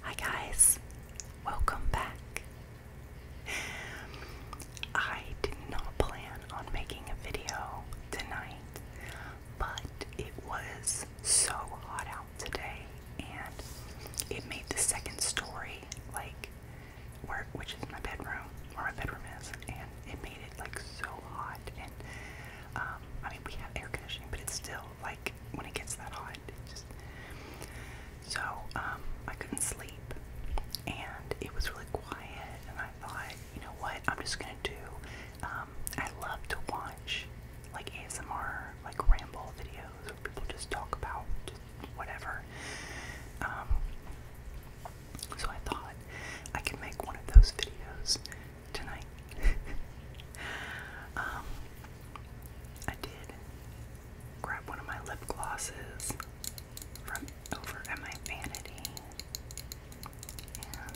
Hi guys, welcome back. I did not plan on making a video tonight, but it was so hot out today, and it made the second story like where, which is my bedroom, where my bedroom is, and it made it like so hot. And um, I mean, we have air conditioning, but it's still like when it gets that hot. So um, I couldn't sleep, and it was really quiet. And I thought, you know what? I'm just gonna do. Um, I love to watch like ASMR, like ramble videos where people just talk about whatever. Um, so I thought I could make one of those videos tonight. um, I did grab one of my lip glosses from over at my vanity, and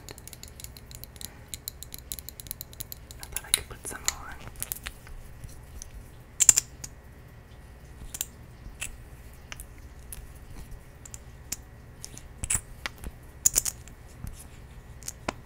I thought I could put some on.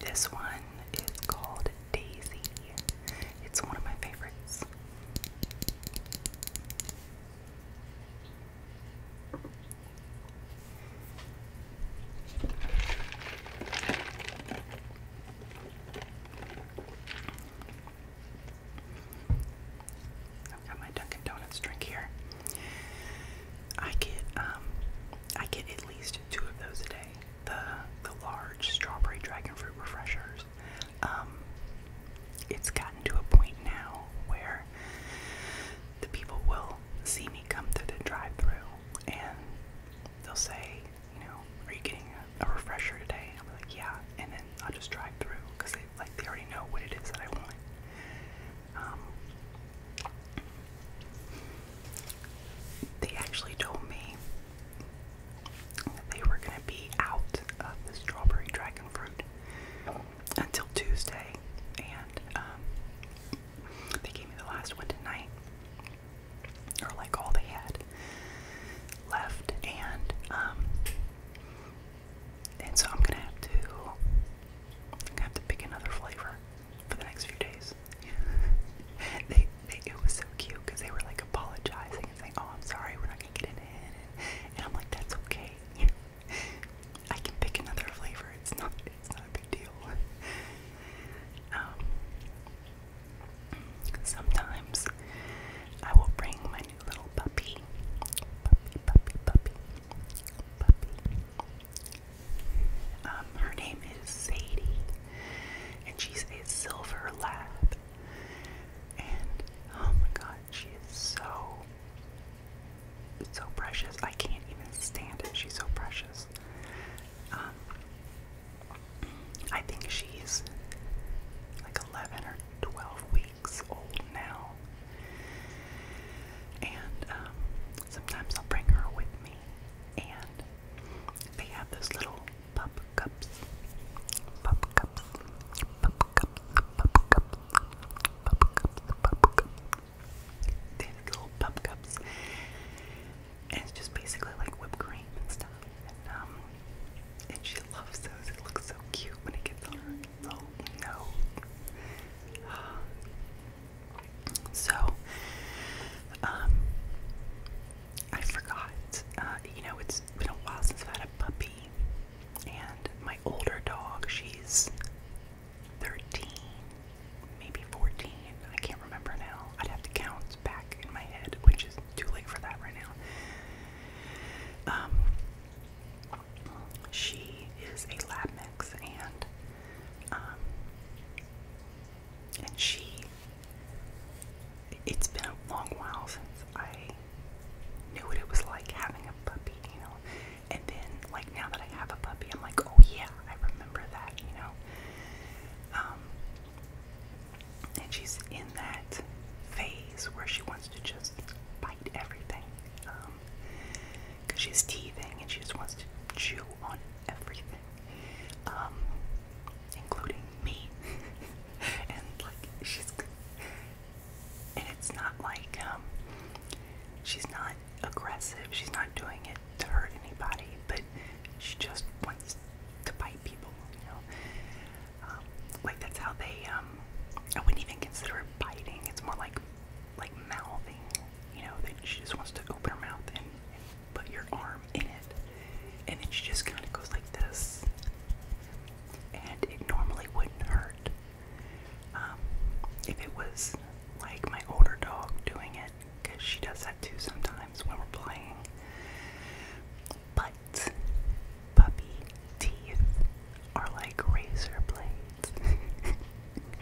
This one is called Daisy. It's one of my favorites. I've got my Dunkin' Donuts drink here. I get um I get at least two of those a day. The the large strawberry dragon fruit refreshers. Um it's gotten to a point now where the people will see me come through the drive through and they'll say, you know, are you getting a refresher today?" I'm like, "Yeah," and then I'll just drive through because they like they already know what it is that I want. Um, they actually told me they were gonna be out of the strawberry dragon fruit until Tuesday, and um, they gave me the last one tonight, or like all they had left, and um, and so I'm gonna have to, have to pick another flavor for the next few days. they, they, it was so cute because they were like apologizing and saying, "Oh, I'm sorry, we're not gonna get it in," and, and I'm like, "That's okay. I can pick another flavor. It's not, it's not a big deal." um, Sometimes I will bring my new little puppy. Puppy, puppy, puppy. Puppy. Um, her name is Sadie, and she's a silver lab. And oh my god, she is so, so precious. I can't even stand it. She's so precious. Um, I think she's like 11 or 12 weeks old now. And um, sometimes I'll bring her with me. And they have those little pup cups. Pup cups. Pup cups. Pup cups. Pup cups. Pup cups. They have little pup cups. And it's just basically like whipped cream and stuff. And, um, and she she loves those. It looks so cute when it gets on her little nose. So, um, I forgot. Uh, you know, it's been a while since I've had a puppy. And my older dog, she's 13, maybe 14. I can't remember now. I'd have to count back in my head, which is too late for that right now. Um, she is a lab mix, and um, and she. It's been a long while since I knew what it was like having a puppy, you know. And then, like now that I have a puppy, I'm like, oh yeah, I remember that, you know. Um, and she's in that phase where she wants to just bite everything um because she's teething and she just wants to chew on everything um including me and like she's and it's not like um she's not aggressive she's not doing it to hurt anybody but she just wants to bite people you know um, like that's how they. Um, I wouldn't even consider it biting. It's more like like mouthing. You know, that she just wants to open her mouth and, and put your arm in it, and then she just kind of goes like this, and it normally wouldn't hurt. Um, if it was like my older dog doing it, because she does that too sometimes when we're playing. But puppy teeth are like razor blades.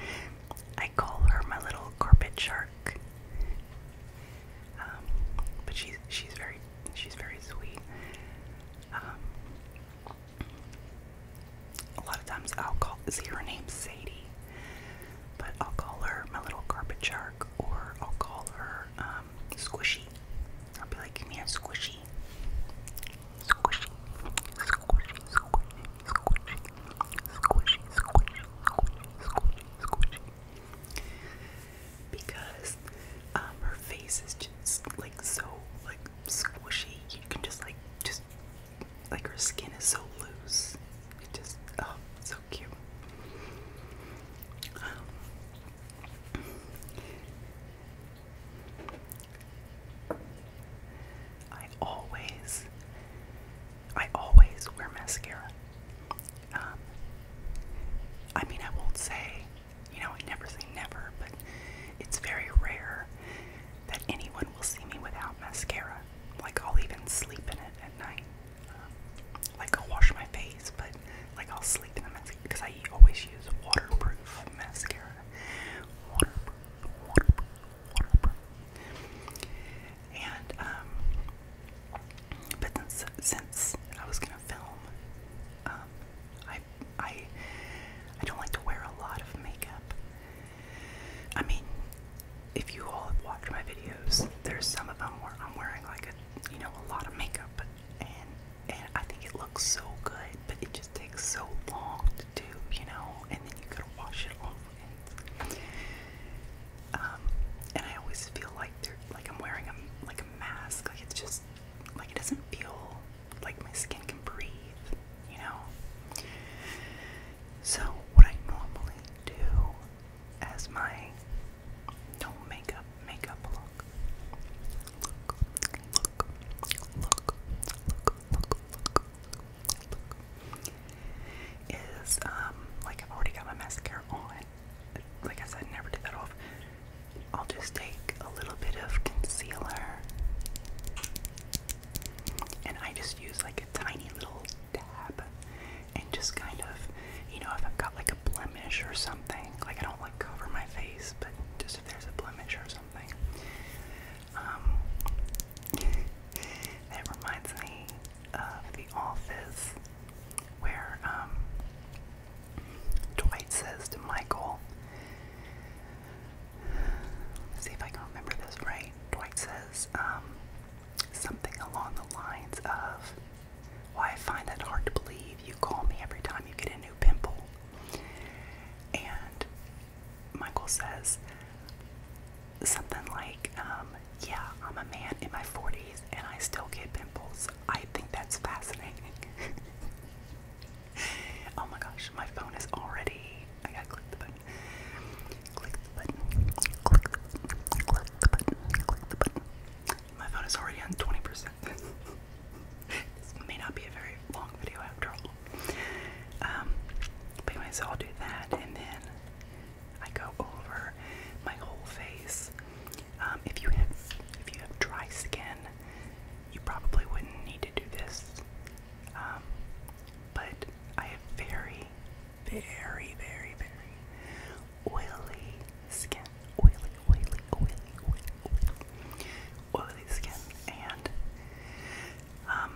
I call her my little carpet shark. Um, but she's she's very she's very sweet. Um, a lot of times I'll call see her name Sadie, but I'll call her my little carpet shark, or I'll call her um, squishy. I'll be like, come here, squishy. Squishy. Squishy, squishy, squishy. Squishy, squishy, squishy, squishy, squishy. Because um, her face is just like so like squishy. You can just like just like her skin is so loose. It just oh so cute. I always, I always wear mascara. Um, I mean, I won't say, you know, I never say never, but it's very rare that anyone will see me without mascara. Like, I'll even sleep in it at night like I'll wash my face, but like I'll sleep in the mascara because I always use waterproof mascara. Waterproof, waterproof, waterproof. And um, but since, since I was gonna film, um, I I I don't like to wear a lot of makeup. I mean, if you all have watched my videos, there's some of them where I'm wearing like a you know, a lot of makeup, and and I think it looks so good, but it just takes so long to do, you know, and then you gotta wash it off. And, um, and I always feel like they're like I'm wearing a like a mask, like it's just like it doesn't feel like my skin can breathe, you know. So what I normally do as my no makeup makeup look. Is like I've already got my mascara on. Like I said, never did that off. I'll just take a little bit of concealer, and I just use like a tiny little dab and just kind of, you know, if I've got like a blemish or something, like I don't like cover my face, but just if there's a blemish or something. Um, that reminds me of The Office, where um, Dwight says to Michael, Let's see if I can remember this right. Dwight says, um, something along the lines of, "Why I find that hard to believe. You call me every time you get a new pimple." And Michael says something like, um, "Yeah, I'm a man in my 40s and I still get pimples. I think that's fascinating." oh my gosh, my phone is already. I gotta click the button. Click my phone is already on 20%. this may not be a very long video after all. Um, but anyways, I'll do that and then I go over my whole face. Um, if you have if you have dry skin, you probably wouldn't need to do this. Um, but I have very, very, very, very oily skin, oily, oily, oily, oily, oily, skin, and um,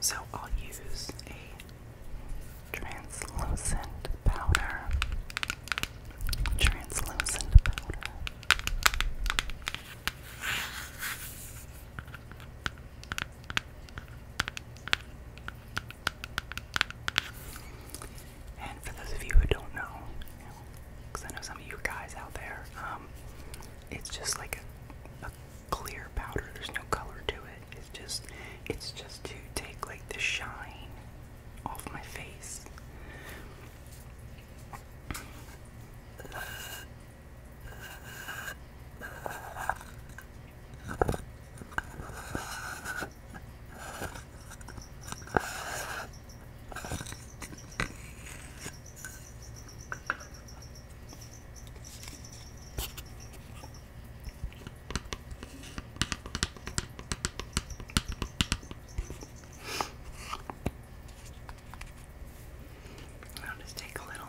so I'll use a translucent powder, translucent powder. And for those of you who don't know, because I know some of you guys out there, um, it's just like a, a clear powder. There's no color to it. It's just, it's just to take like the shine off my face. I'll just take a little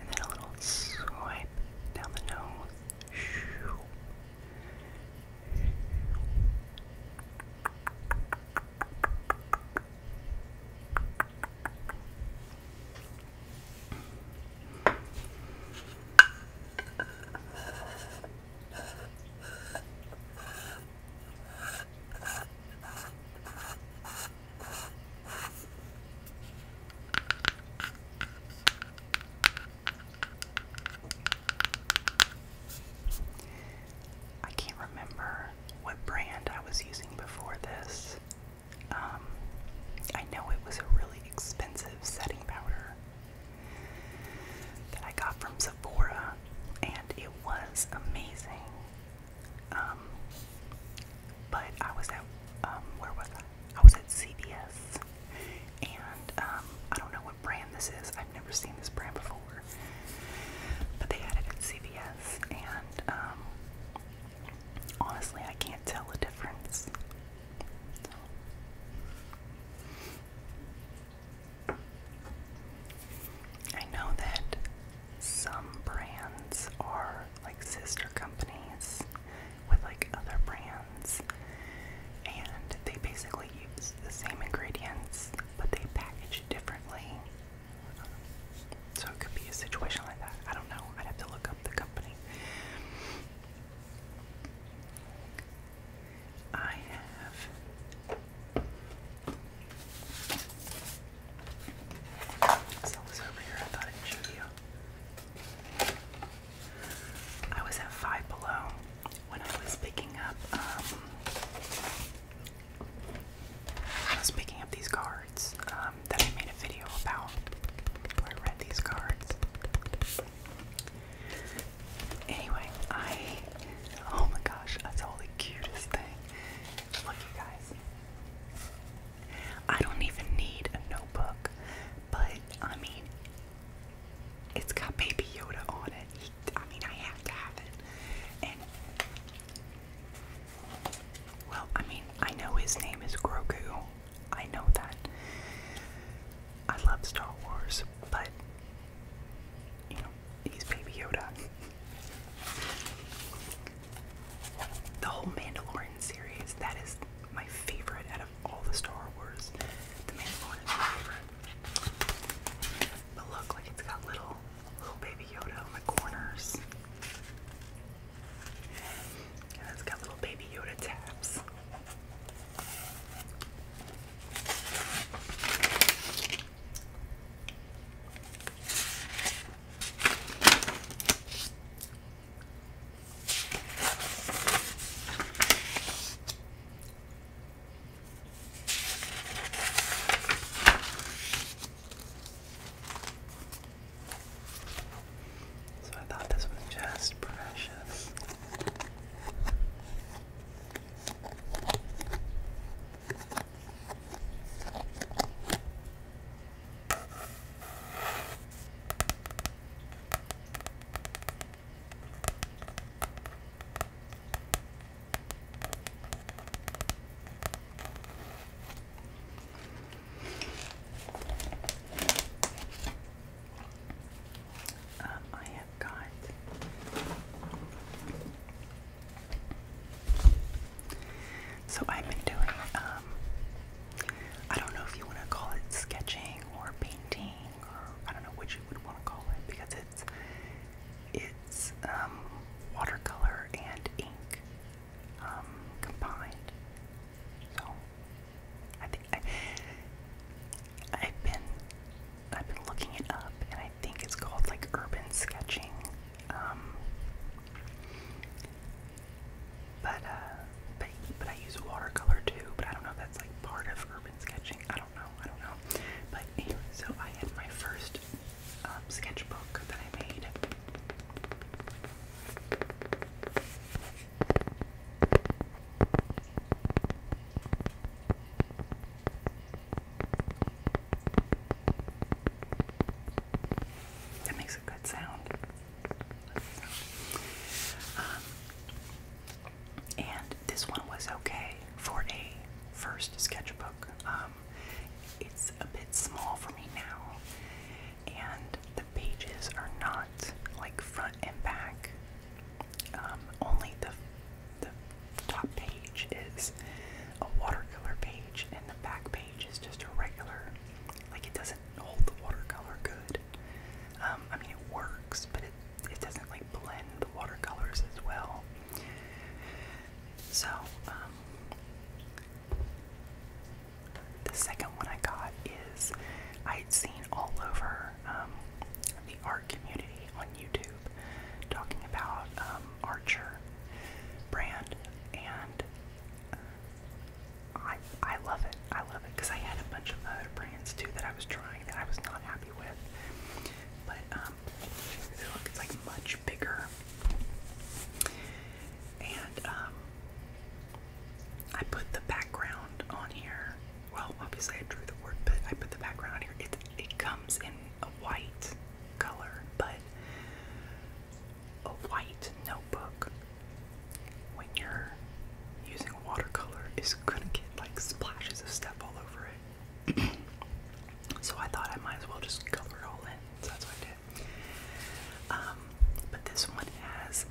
And then a little swipe down the nose. I can't remember what brand I was using before this. Um, I know it was a really expensive setting powder that I got from Sephora, and it was amazing. Um, but I was at, um, where was I? I was at CVS, and um, I don't know what brand this is. I've never seen this brand before, but they had it at CVS, and um, honestly, I can't tell the difference. So. I know that some brands are like sister companies with like other brands, and they basically use the same ingredients but they package it differently. So it could be a situation like that. I don't know. I'd have to look up the company. I have it was over here. I thought I'd show you. I was at Five Below when I was picking up. Um, I was picking up these cards um, that I made a video about. I read these cards. Anyway, I. Oh my gosh, that's the cutest thing. Look, you guys. I don't even need a notebook, but I mean, it's got Baby Yoda on it. I mean, I have to have it. And, well, I mean, I know his name is Grogu. I know that. I love Star Wars, but, you know, he's Baby Yoda the whole Mandalorian series. That is my favorite out of all the Star Wars. The Mandalorian is my favorite. But look, like it's got little, little baby Yoda on the corners. And it's got little baby Yoda tabs. So I thought this was just precious. Um, I have got so I've been doing, um, I don't know if you want to call it sketching or painting or I don't know which you would want to call it because it's it's um, watercolor and ink um, combined. So I think I, have been I've been looking it up and I think it's called like urban sketching. Uh, but but, I use watercolor too. But I don't know that's like part of urban sketching. I don't know. I don't know. But anyway, so I had my first um, sketchbook that I made. That makes a good sound. Um, and this one was okay for a first sketchbook. Um, it's a bit small for me now, and the pages are not like front and back. Um, only the the top page is a watercolor page, and the back page page just a regular, like it doesn't hold the watercolor good. Um, I mean, it works, but it, it doesn't like blend the watercolors as well. So, um, the second one I got is I'd seen all over um, the art community on YouTube talking about Archer brand and I I love it. I love it because I had a bunch of other brands too that I was trying that I was not happy with. But um, it's like much bigger, and um, I put the background on here. Well, obviously I drew the word, but I put the background on here. It it comes in a white color, but a white notebook when you're using watercolor is gonna get like splashes of stuff all over it. so I thought I might as well just cover it all in, so that's what I did. Um, but this one has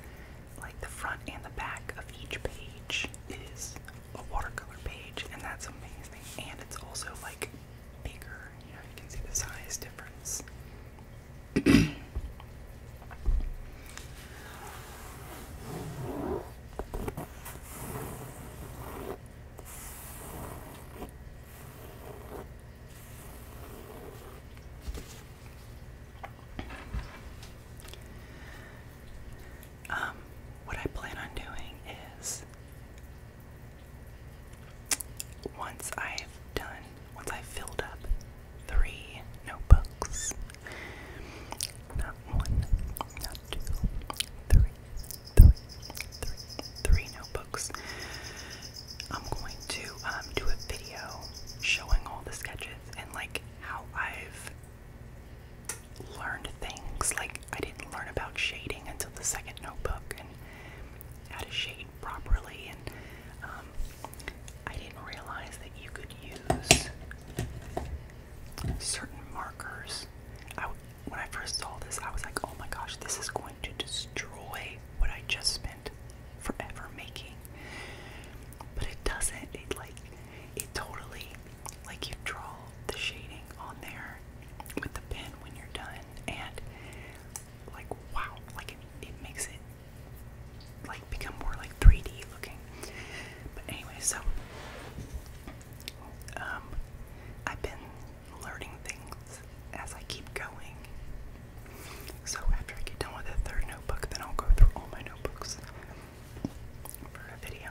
like the front and the back of each page is a watercolor page, and that's amazing. And it's also like bigger. You you can see the size difference. Um, what I plan on doing is once I've done, once I've filled up three notebooks, not one, not two, three, three, three, three notebooks, I'm going to um, do a video showing all the sketches and like how I've learned things. Like, I didn't learn about shading until the second notebook, out of shade properly, and um, I didn't realize that you could use certain markers. I, when I first saw this, I was like, oh my gosh, this is going to destroy what I just spent forever making. But it doesn't. It like, it totally, like you draw the shading on there with the pen when you're done and like wow like it makes it like become more like 3D looking but anyway so um I've been learning things as I keep going so after I get done with the third notebook then I'll go through all my notebooks for a video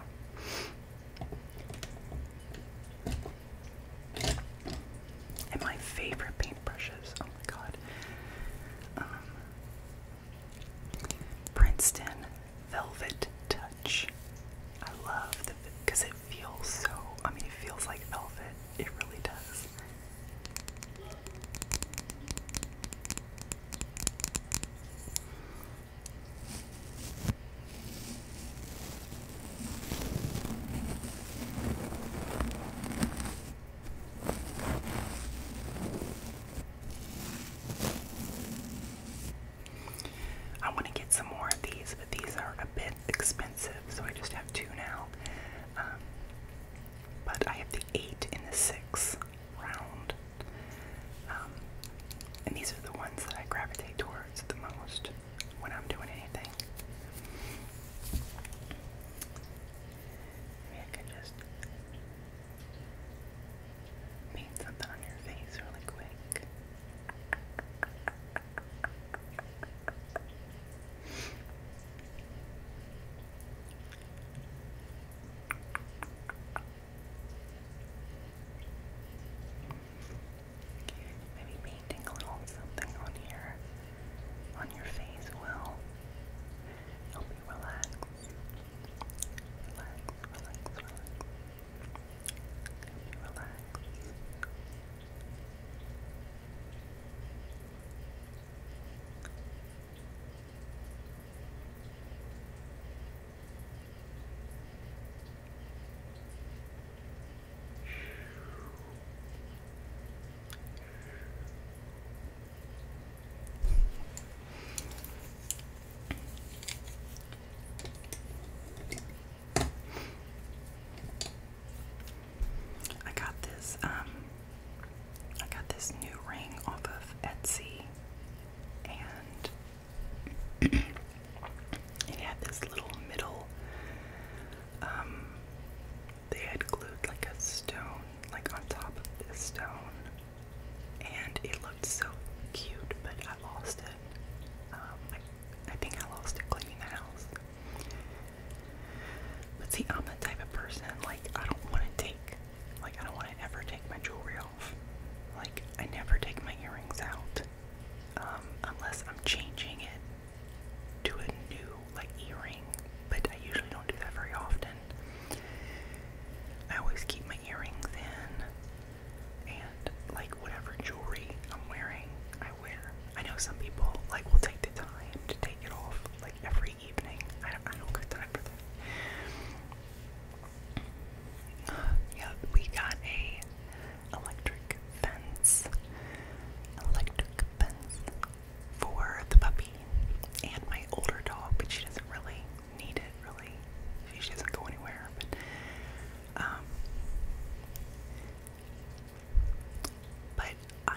and my favorite paintbrushes. Oh my god. Um, Princeton Velvet Touch. I love the because it feels so. I mean, it feels like velvet. It really does. I want to get some more of these, but these are a bit expensive, so I just have two now. Um, but I have the eight and the six round. Um, and these are the ones that I gravitate towards the most when I'm doing anything. I could just paint something on your face really quick. Maybe painting a little something on here, on your face will help you relax. Relax, relax, relax. I got this, um, I got this new ring off of Etsy, and it had this little middle. Um, they had glued like a stone, like on top of this stone, and it looked so cute, but I lost it. Um, I think I lost it cleaning the house. But see, I'm the type of person like I don't want to take, like I don't want to ever take my jewelry off. Like I never take my earrings out. Um, unless I'm changing it to a new like earring, but I usually don't do that very often. I always keep my earrings in and like whatever jewelry I'm wearing, I wear. I know some people like will take the time to take it off like every evening. I don't, I don't got time for that. Uh, we got a electric fence, electric fence for the puppy and my older dog, but she doesn't really need it, really. She, doesn't go anywhere, but, um, but I,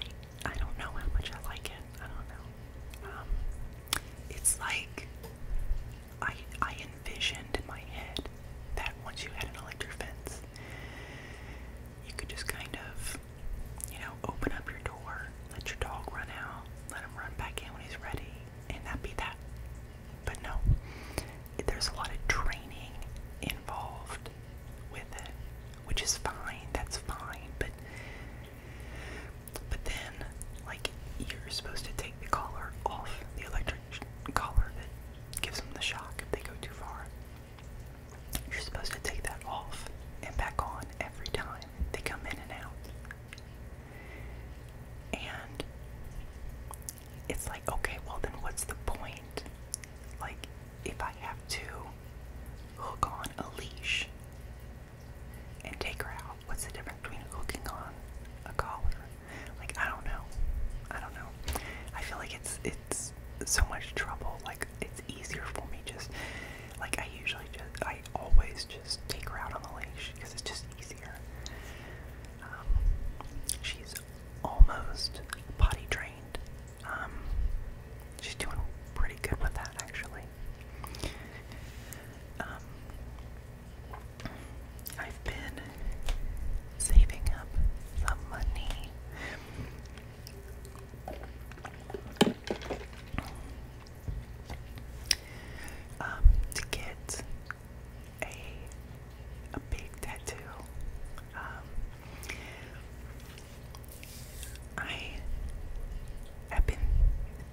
I don't know how much I like it. I don't know. Um, it's like I I envisioned in my head that once you had an electric fence, you could just kind of, you know, open up your door, let your dog run out, let him run back in when he's ready, and that'd be that. But no, there's a lot of training involved with it, which is fine. That's fine, but but then like you're supposed to take the collar off the electric electric collar that gives them the shock if they go too far. You're supposed to take that off and back on every time they come in and out. And it's like, okay, well, then what's the point? Like, if I have to hook on a leash and take her out, what's the difference between hooking on a collar like I don't know. I don't know. I feel like it's it's so much trouble. Like it's easier for me just like I usually just I always just take her out on the leash because it's just easier. Um, she's almost potty trained. Um, she's doing pretty good with that actually. Um, I've been saving up some money um, to get a big tattoo. Um, I have been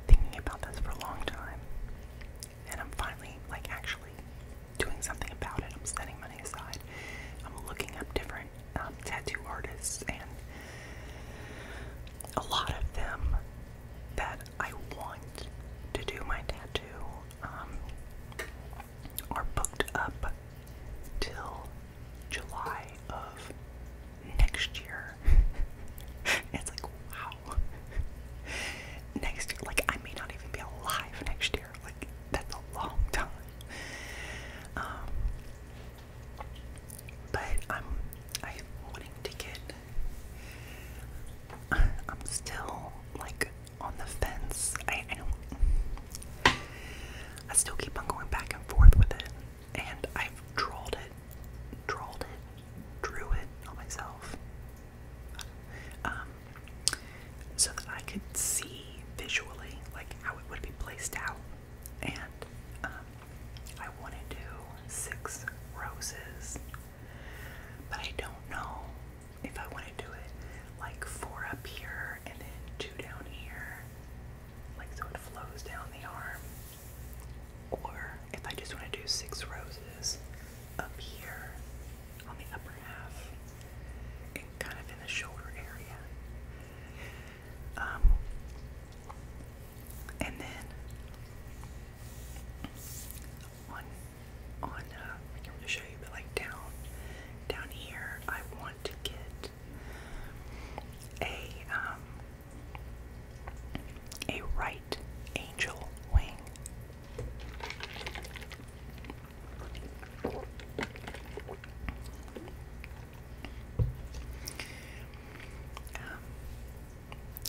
thinking about this for a long time, and I'm finally like actually doing something about it. I'm setting money aside. I'm looking up different um, tattoo artists and a lot of them that I want to do my tattoo um, are booked up till July of next year. it's like wow. next year, like I may not even be alive next year. Like that's a long time. Um, but I'm I'm wanting to get. I'm still like on the fence. I, I still keep on going back and forth with it, and I've trolled it, trolled it, drew it on myself. Um, so that I could see visually like how it would be placed out. And um, I want to do six roses, but I don't know if I want to do it like four up here and then two down here, like so it flows down the arm, or if I just want to do six roses up here on the upper half kind of in the shoulder area. Um, and then on on uh, can show you, but like down down here, I want to get a um, a right angel wing. Um,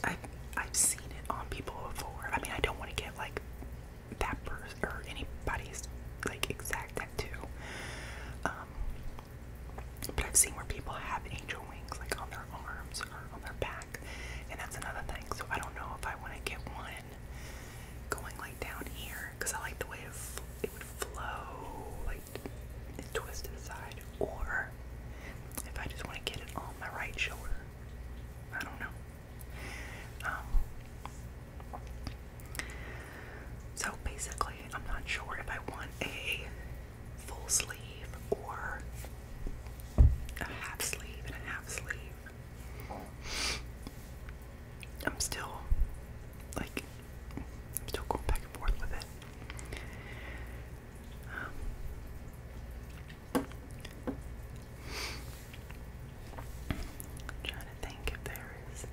I've I've seen it on people before. I mean, I don't want to get like that person or anybody's like exact tattoo. Um, but I've seen where people have angel wings like on their arms on their back, and that's another thing. So I don't know if I want to get one going like down here because I like the way it, would flow, like and side, or if I just want to get it on my right shoulder. I don't know. Um, so basically, I'm not sure if I want a full sleeve or a half sleeve and a half sleeve. I'm still like still going back and forth with it. Um, trying to think if there is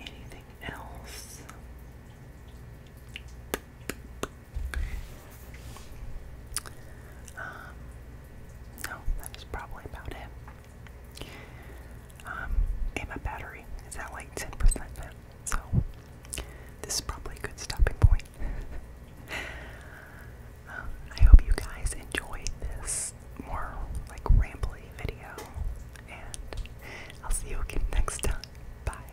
anything else. Um, no, oh, that is probably about it. Um, and my battery is at like 10% so this is probably a good stopping point. um, I hope you guys enjoyed this more like rambly video, and I'll see you again next time. Bye.